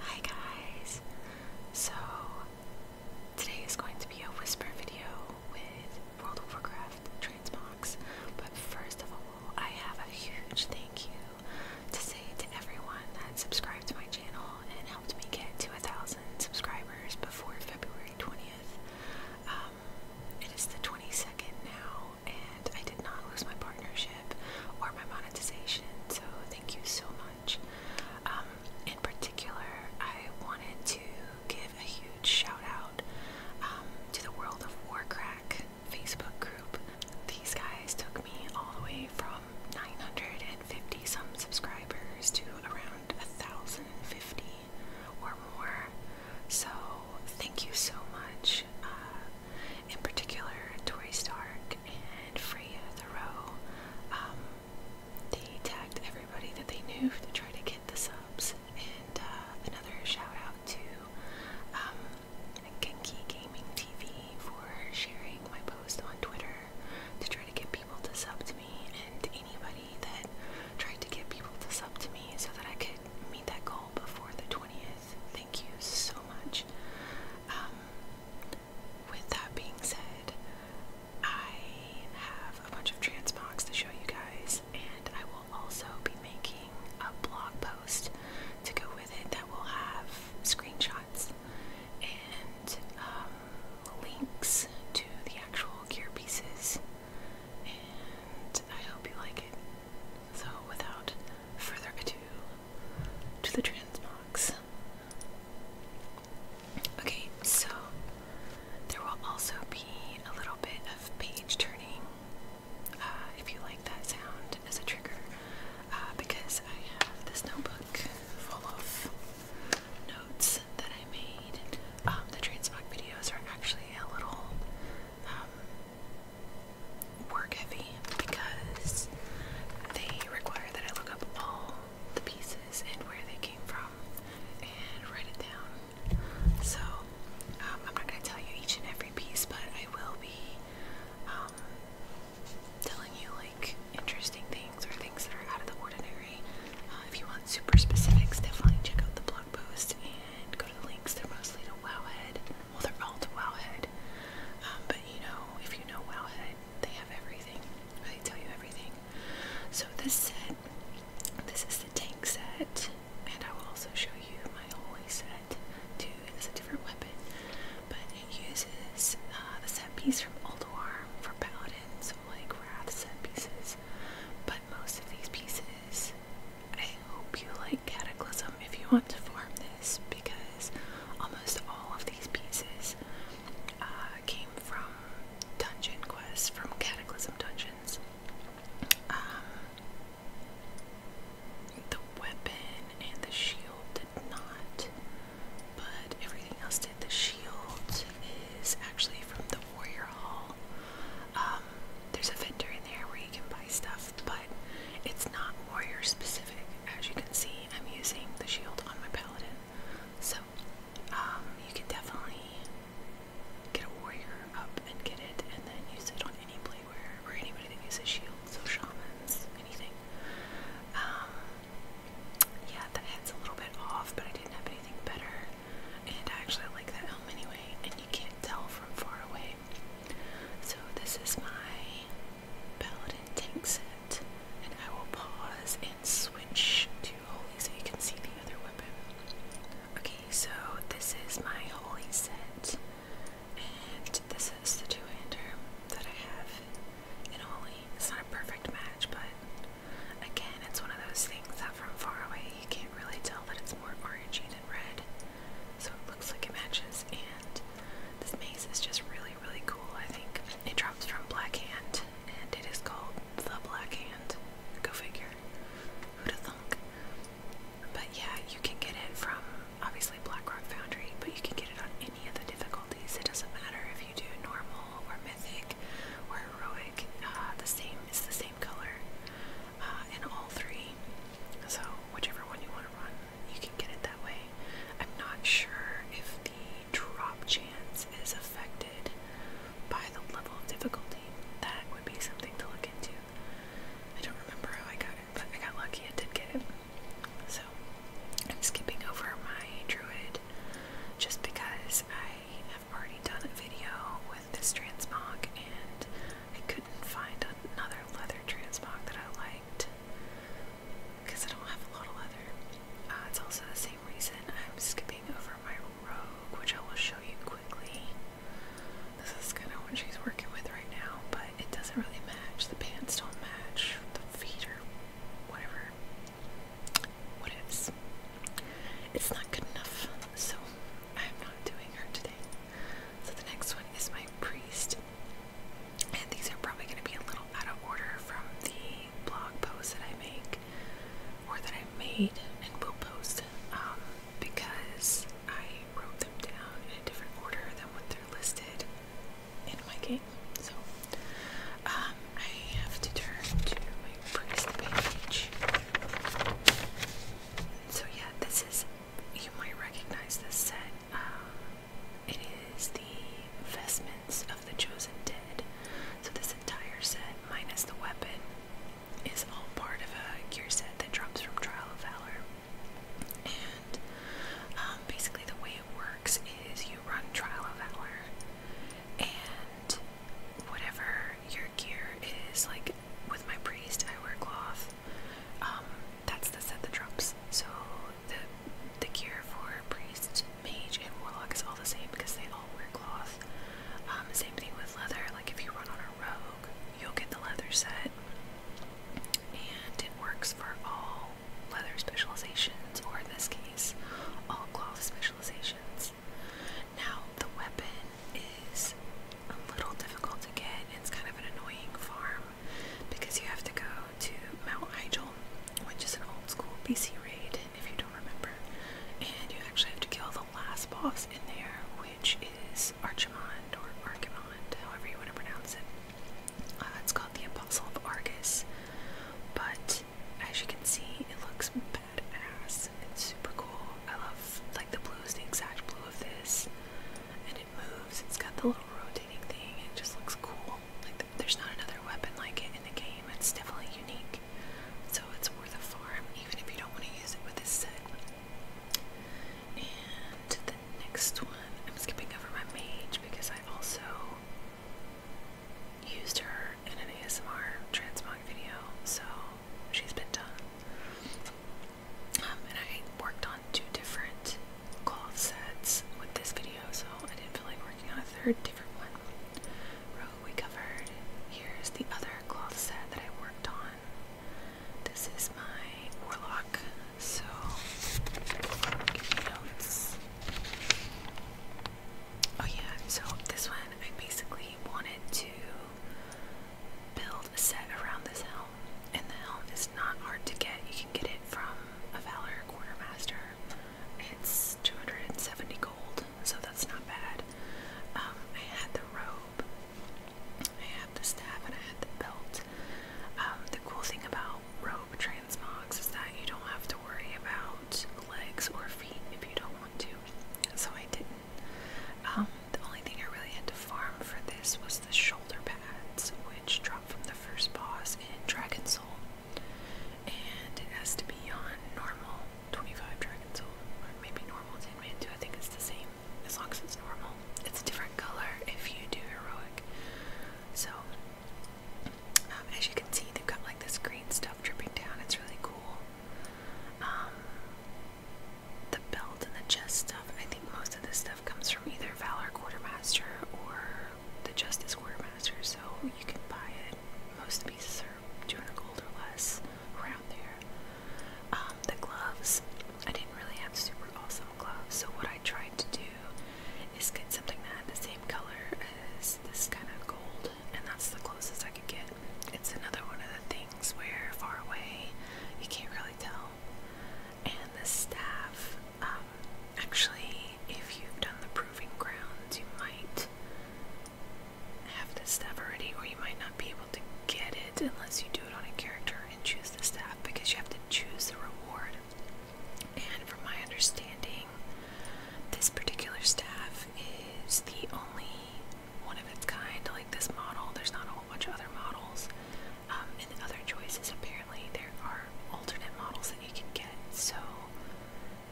Hi guys! So, today is going to be a whisper video with World of Warcraft Transbox, but first of all, I have a huge thank you to say to everyone that subscribed to my channel and helped me get to a thousand subscribers before February 20th. Um, it is the 22nd now, and I did not lose my partnership or my monetization, so thank you so much. Um, in particular, I wanted to give a huge shout out um, to the World of Warcrack Facebook group. These guys took me all the way from 950 some subscribers to around 1,050 or more. So, thank you so much, uh, in particular, Tori Stark and Freya Thoreau. Um, they tagged everybody that they knew to try to get the subs. And uh, another shout out to um, Gaming TV for sharing my post on Twitter to try to get people to sub to me and anybody company that tried to get people to sub to me so that I could meet that goal before the 20th. Thank you so much. Um, with that being said, I have a bunch of transmogs to show you guys, and I will also be making a blog post to go with it that will have screenshots and um, links to the actual gear pieces and I hope you like it. So, without further ado, to the transbox. Okay, so there will also be a little bit of page turning uh, if you like that sound as a trigger, uh, because I have this notebook full of notes that I made. Um, the transbox videos are actually a little um, work heavy because they require that I look up all the pieces and where they came from and write it down. So um, I'm not going to tell you each and every piece, but I will be um, telling you like interesting things or things that are out of the ordinary. Uh, if you want super specifics, definitely check out the blog post and go to the links. They're mostly to Wowhead. Well, they're all to Wowhead. Um, but you know, if you know Wowhead, they have everything. They tell you everything. So this set, this is the tank set, and I will also show you my holy set too. It's a different weapon, but it uses uh, the set piece from Old War for paladins, like wrath set pieces. But most of these pieces I hope you like Cataclysm if you want to farm this because almost all of these pieces uh, came from dungeon quests, from Cataclysm dungeons. Um, the weapon and the shield did not, but everything else did. The shield is actually from the Warrior Hall. Um, there's a vendor in there where you can buy stuff, but it's not warrior specific. As you can see, I'm using the shield on my paladin, so um, you can definitely get a warrior up and get it, and then use it on any playware or anybody that uses shields, so shamans, anything. Um, yeah, that head's a little bit off, but I didn't have anything better. And I actually like that home anyway, and you can't tell from far away. So this is my Paladin tank set, and I will pause and switch to Holy so you can see the other weapon. Okay, so this is my Holy set, and this is the two-hander that I have in Holy. It's not a perfect match, but again, it's one of those things that from far away you can't really tell that it's more orangey red, so it looks like it matches. And this maze is just really, really cool. I think it drops from Black and it is called the Black Go figure. Who'da thunk? But yeah, you can get it from obviously Blackrock Foundry, but you can get it on any of the difficulties. It doesn't matter if you do normal or mythic or heroic. Uh, the same is the same color. Uh, in all three. So whichever one you want to run, you can get it that way. I'm not sure if the drop chance is affected by the level of difficulty. That would be something to look into. I don't remember how I got it, but I got lucky and did get it. So I'm skipping over my druid just because I have already done a video with this transmog and I couldn't find another leather transmog that I liked because I don't have a lot of leather. Uh, it's also the same reason I'm skipping over my rogue, which I will show you quickly. This is kind of what she's working with right now, but it doesn't really match. The pants don't match, the feet or whatever. What It's not good enough, so I'm not doing her today. So the next one is my priest. And these are probably going to be a little out of order from the blog posts that I make or that I made and will post um, because I wrote them down in a different order than what they're listed in my game. So um, I have to turn to my priest page. So yeah, this is you might recognize this set. Um, it is the vestments of the chosen dead. So this entire set, minus the weapon, is all part of a gear set that drops from Trial of Valor. And um, basically, the way it works is you run Trial of Valor, and whatever your gear is, like with my priest, I wear cloth. Um, that's the set the drops. So the the cure for priest, mage, and warlock is all the same because they all wear cloth. Um, same thing with leather. Like if you run on a rogue, you'll get the leather set, and it works for all leather specializations, or in this case, all cloth specializations. Now the weapon is a little difficult to get. It's kind of an annoying farm because you have to go to Mount Hyjal, which is an old school BC raid, if you don't remember. And you actually have to kill the last boss in there, which is Archimond or Archimond, however you want to pronounce it. Uh, it's called the Apostle of Argus, but as you can see, it looks badass. It's super cool. I love like the blue is the exact blue of this, and it moves. It's got the little rotating thing. It just looks cool. Like there's not another weapon like it in the game. It's definitely unique. So it's worth a farm, even if you don't want to use it with this set. And the next one, I'm skipping over my mage because I also used her in an ASMR transmog video, so she's been done. Um, and I worked on two different cloth sets with this video, so I didn't feel like working on a third different one. Row we covered. Here's the other cloth set that I worked on. This is my warlock, so Oh yeah, so this one I basically wanted to build a set around this helm, and the helm is not hard to get. You can get it from a Valor Quartermaster. It's 270 gold, so that's not bad. Um, I had the robe, I had the staff, and I had the belt. Um, the cool thing about robe transmogs is that you don't have to worry about legs or feet if you don't want to. So I didn't. Um, the only thing I really had to farm for this was the shoulder pads, which dropped from the first boss in Dragon Soul. And it has to be on normal 25 Dragon Soul, or maybe normal 10 man 2, I think it's the same, as long as it's normal. It's a different color if you do heroic. So, um, as you can see, they've got like this green stuff dripping down, it's really cool. Um, the belt and the chest stuff. I think most of this stuff comes from either Valor Quartermaster or the Justice Quartermaster, so you can buy it. Most pieces are 200 gold or less around there. Um, the gloves, I didn't really have super awesome gloves, so what I tried to do is get something that had the same color as this kind of gold, and that's the closest I could get. It's another one of the things where far away you can't really tell and the staff. Um, actually, if you've done the proving grounds, you might have the staff already, or you might not be able to get it unless you do it on a character and choose the staff because you have to choose the reward. And from my understanding, this particular staff is the only one of its kind. Like this model, there's not a whole bunch of other models. Um, and other choices, apparently, there are alternate models that you can get. So,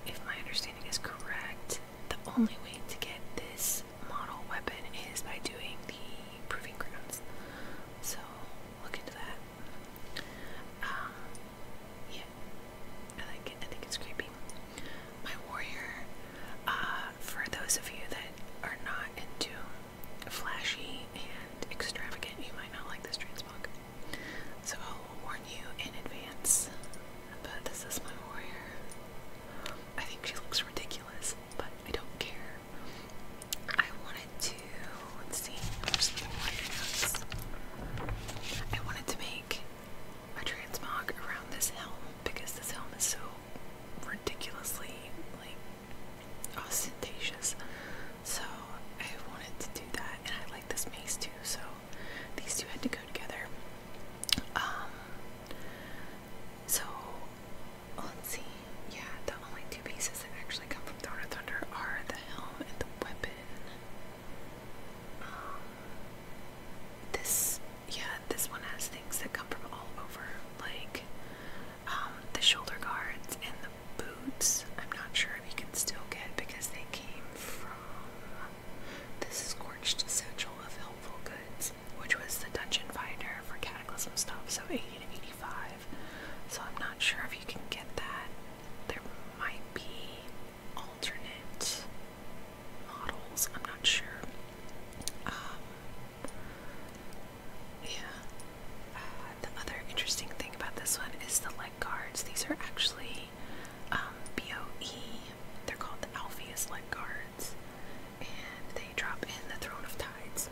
if my understanding is correct, the only way to get this model weapon is by doing the proving grounds. So, look into that. Um, yeah, I like it. I think it's creepy. My warrior. Uh, for those of you that are not into flashy and extravagant, you might not like this transmog. So I'll warn you in advance. But this is my warrior. I think she looks ridiculous, but I don't care. I wanted to let's see, where's the warrior notes? I wanted to make a transmog around this helm because this helm is so ridiculously like ostentatious. So I wanted to do that, and I like this maze too. So these two had to go together. Um. So let's see. Yeah, the only two pieces that actually come from Dawn of Thunder are the helm and the weapon. Um. This, yeah, this one has things that come from all over, like um, the shoulder guards and the boots. I'm not sure if you can still get because they came from this Scorched Essential of Helpful Goods, which was the dungeon finder for Cataclysm stuff, so 80 to 85. So I'm not sure if you can get that. There might be alternate models, I'm not sure. Um, yeah. Uh, the other interesting thing about this one is the leg guards. These are actually um, BOE. They're called the Alpheus leg guards. And they drop in the Throne of Tides.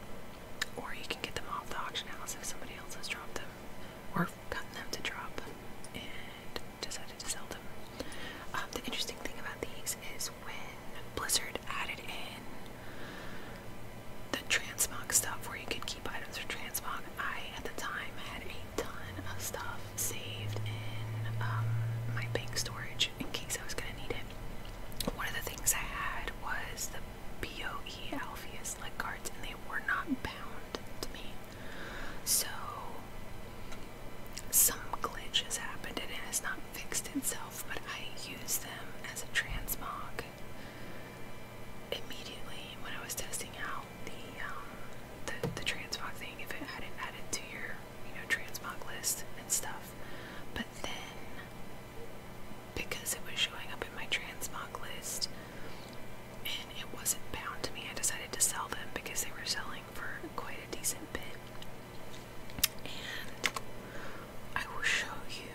Or you can get them off the auction house if somebody else has dropped them. Or gotten them to drop and decided to sell them. Um, the interesting thing about these is when Blizzard added in the transmog stuff where you could keep items for transmog. I, at the time, had a ton of stuff saved in um, my bank storage in case I was going to need it. One of the things I had was the BOE Alpheus leg cards, and they were not bound to me. So, some glitch has happened and it has not fixed itself myself, but I used them as a transmog immediately when I was testing out the um, the, the transmog thing. If it had it added to your you know transmog list and stuff, but then because it was showing up in my transmog list and it wasn't bound to me, I decided to sell them because they were selling for quite a decent bit. And I will show you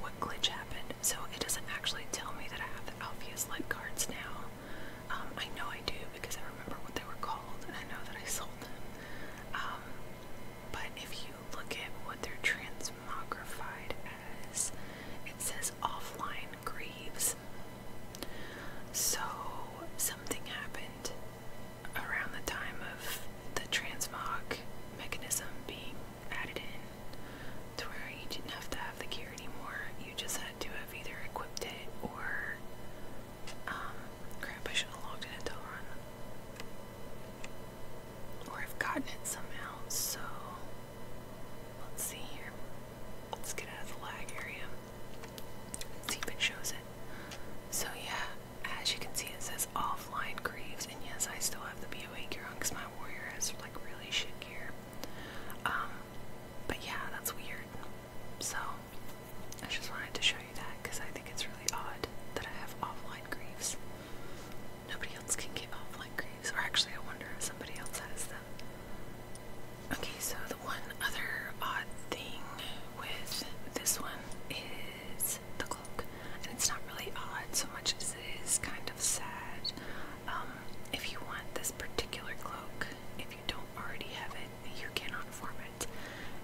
what glitch happened. So it doesn't actually tell me that I have the Alpheus Light cards now. Um, I know I do because I remember what they were called and I know that I sold them. Um, but if you look at what they're transmogrified as, it says offline Greaves. So something happened around the time of the transmog mechanism being added in to where you didn't have to have the gear anymore. You just had to have either equipped it or um, crap I should have logged in until run. Or I've gotten it somehow, so let's see here. Let's get out of the lag area. see if it shows it. So yeah, as you can see, it says offline Greaves, and yes, I still have the BOA gear on because my warrior has like really shit gear. Um, but yeah, that's weird. So I just wanted to show you that because I think it's really odd that I have offline Greaves. Nobody else can get offline Greaves, or actually, I wonder if somebody else has them. Okay, so the one other odd thing with this one is is The Cloak. And it's not really odd so much as it is kind of sad. Um, if you want this particular cloak, if you don't already have it, you cannot form it.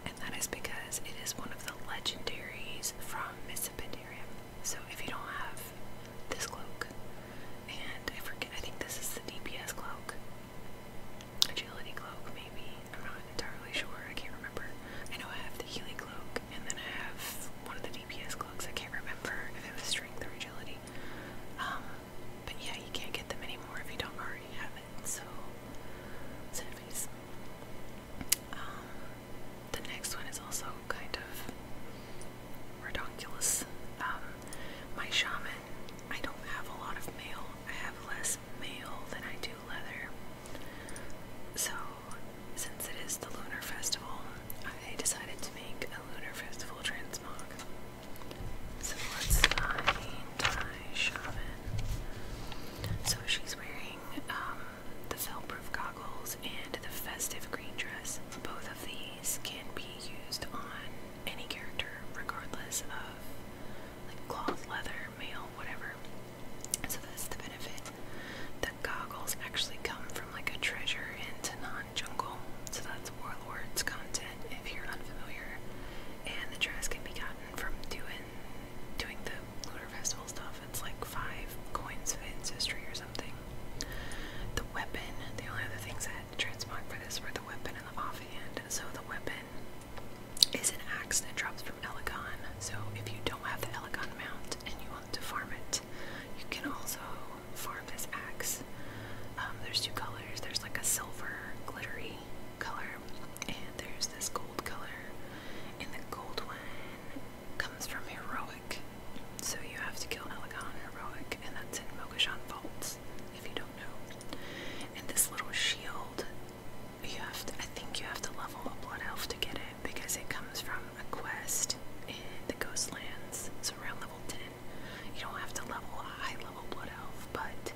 And that is because it is one of the legendaries from Missipidaria. So if you don't have this cloak, and I forget, I think this is the DPS cloak, agility cloak maybe, I'm not entirely sure, I can't remember. I know I have the healing cloak and then I have one of the DPS cloaks. I can't remember if it was strength or agility. Um, but yeah, you can't get them anymore if you don't already have it. So, sad um, the next one is also kind of redonkulous. Um, my shaman. I don't have a lot of mail. I have less mail than I do leather. So, since it is the Lunar Festival, I decided to make a Lunar Festival transmog. So let's find my shaman. So she's wearing um, the felt-proof goggles and the festive green dress. Both of these can be used on any character, regardless of like cloth, leather, male, whatever. So that's the benefit. The goggles actually come from like a treasure in Tanan Jungle. So that's Warlord's content if you're unfamiliar. And the dress can be gotten from doing doing the Looter Festival stuff. It's like five coins for ancestry or something. The weapon, the only other things that transmog for this were the weapon and the offhand. So the weapon is an axe that drops Elegon, so if you don't have the Elegon mount and you want to farm it, you can also farm this axe. Um, there's two colors. There's like a silver glittery color, and there's this gold color. And the gold one comes from heroic, so you have to kill Elegon heroic, and that's in Mogashan Vaults, if you don't know. And this little shield, you have to. I think you have to level a blood elf to get it because it comes from a quest in the Ghostlands. It's around level 10. You don't have to level a high level Blood Elf, but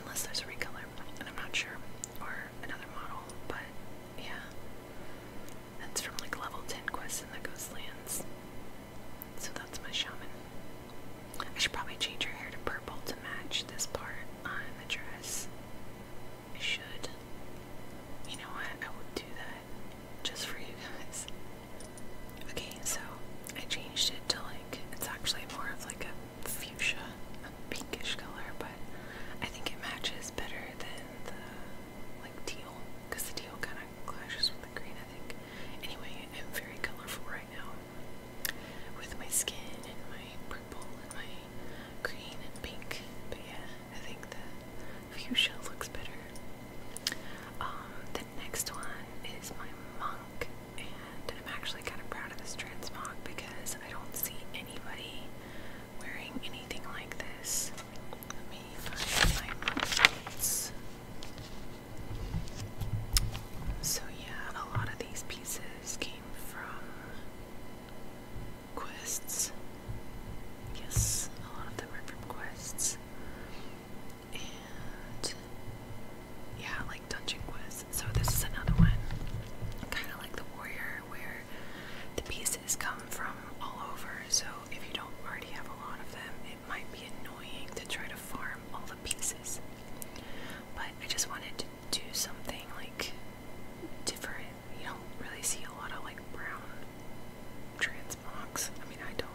unless there's a recolor, and I'm not sure, or another model, but yeah. That's from like level 10 quests in the Ghostlands. So that's my shaman. I should probably change her hair to purple to match this part on the dress. I should. You know what? I would do that just for you guys. Okay, so I changed it to like it's actually more of like a fuchsia, a pinkish color, but I think it matches better than the like teal because the teal kind of clashes with the green, I think. Anyway, I'm very colorful right now with my skin and my purple and my green and pink, but yeah. I think the fuchsia looks better. Um, the next one is my monk, and I'm actually kind of proud of this transmog because I don't see anybody wearing anything like this. Let me find my monks. So yeah, a lot of these pieces came from quests. Yes, a lot of them are from quests. And yeah, like dungeon quests. So this is another one. Kinda like the warrior where the pieces come from all over. So if you don't already have a lot of them, it might be annoying to try to farm all the pieces. But I just wanted to do something like different. You don't really see a lot of like brown trans transmogs. I mean, I don't.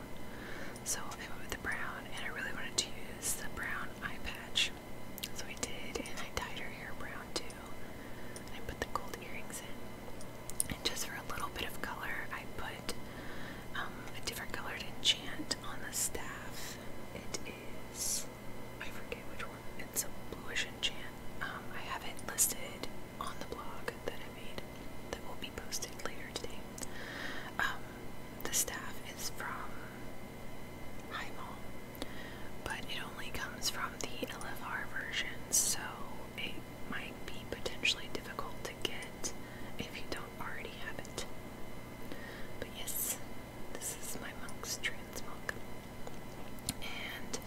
So I went with the brown, and I really wanted to use the brown eye patch. So I did, and I dyed her hair brown too. And I put the gold earrings in. And just for a little bit of color, I put um, a different colored enchant on the staff. It is. I forget which one it's a blueish enchant. Um, I have it listed on the blog that I made that will be posted later today. Um, the staff is from High but it only comes from the LFR version, so it might be potentially difficult to get if you don't already have it. But yes, this is my monk's trans milk. And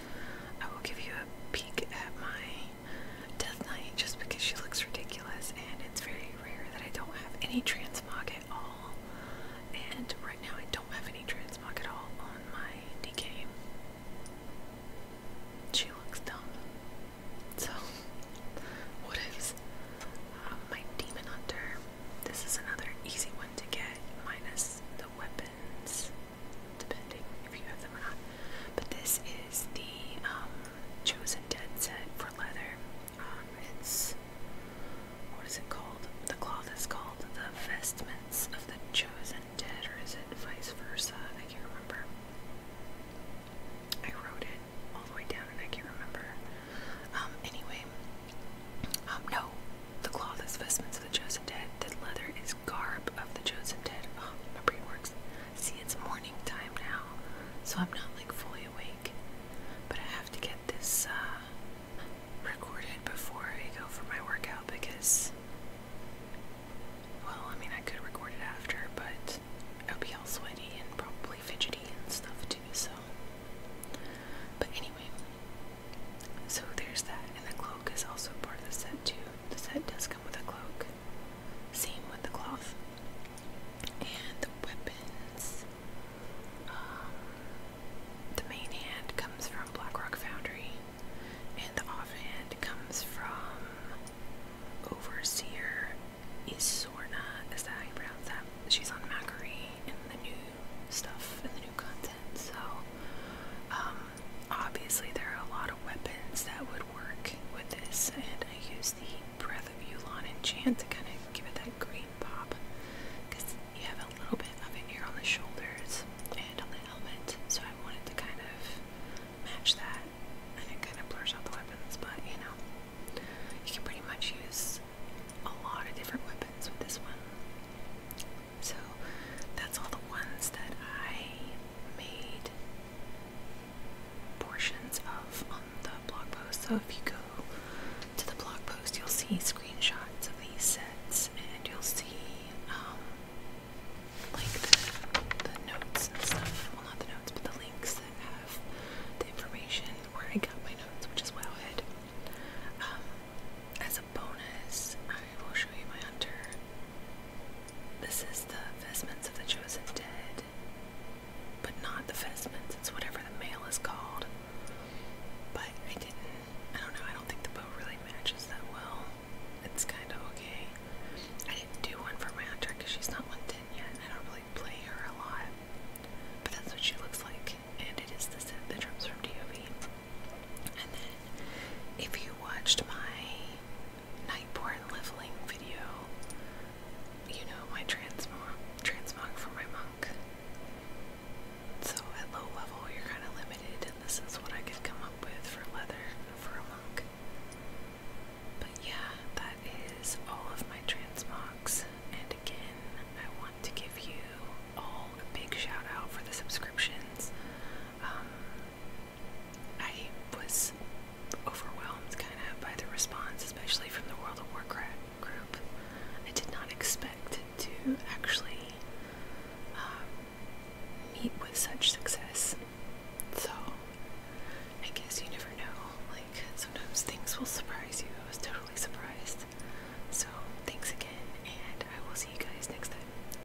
I will give you a peek at my Death Knight just because she looks ridiculous and it's very rare that I don't have any transmog at all. And right now I don't have any transmog at all on my DK. She looks dumb. So, what is uh, my Demon Hunter. This is another easy one to get, minus the weapons depending if you have them or not. But this is the um, Chosen Dead set for leather. Um, it's what is it called? The cloth is called the Vestments of the Chosen Dead, or is it vice versa? I can't remember. I wrote it all the way down and I can't remember. Um, anyway, no, the cloth is vestments of the chosen dead. That leather is garb of the chosen dead. Oh, my brain works. See, it's morning time now, so I'm not like fully awake. But I have to get this uh, recorded before I go for my workout because, well, I mean, I could record it after, but I'll be all sweaty and probably fidgety and stuff too, so. But anyway, so there's that, and the cloak is also part of the set too. The set does come with a cloak, same with the cloth. And the weapons, um, the main hand comes from Blackrock Foundry, and the offhand comes from Overseer Isorna. Is that how you pronounce that? She's on Macquarie in the new stuff and the new content, so um, Obviously, there are a lot of weapons that would work with this, and I used the Breath of Yulon enchant to kind of give it that green pop because you have a little bit of it here on the shoulders and on the helmet, so I wanted to kind of match that. And it kind of blurs out the weapons, but you know, you can pretty much use a lot of different weapons with this one. So that's all the ones that I made portions of on the blog post. So if you go to the blog post, you'll see screenshots of these sets and you'll see um, like the, notes and stuff. Well, not the notes, but the links that have the information where I got my notes, which is Wowhead. Um, as a bonus, I will show you my hunter. This is the Vestments of the Chosen Dead, but not the Vestments, it's whatever the male is called. But I didn't, I don't know, I don't think the bow really matches that well. It's kind of okay. I didn't do one for my hunter because she's not 110 yet, and I don't really play her a lot. But that's what she looks like, and it is the set that comes from DOV. And then, if you watched my Nightborn leveling video, you know my transmog, transmog for my monk. So at low level, you're kind of limited, and this is what I could come up with for leather for a monk. But yeah, that is all of my transmogs. And again, I want to give you all a big shout out for the subscriptions. Um, I was overwhelmed kind of by the response, especially from the World of Warcraft group. I did not expect to actually um, meet with such success. So, I guess you never know. Like, sometimes things will surprise you. I was totally surprised. So, thanks again, and I will see you guys next time.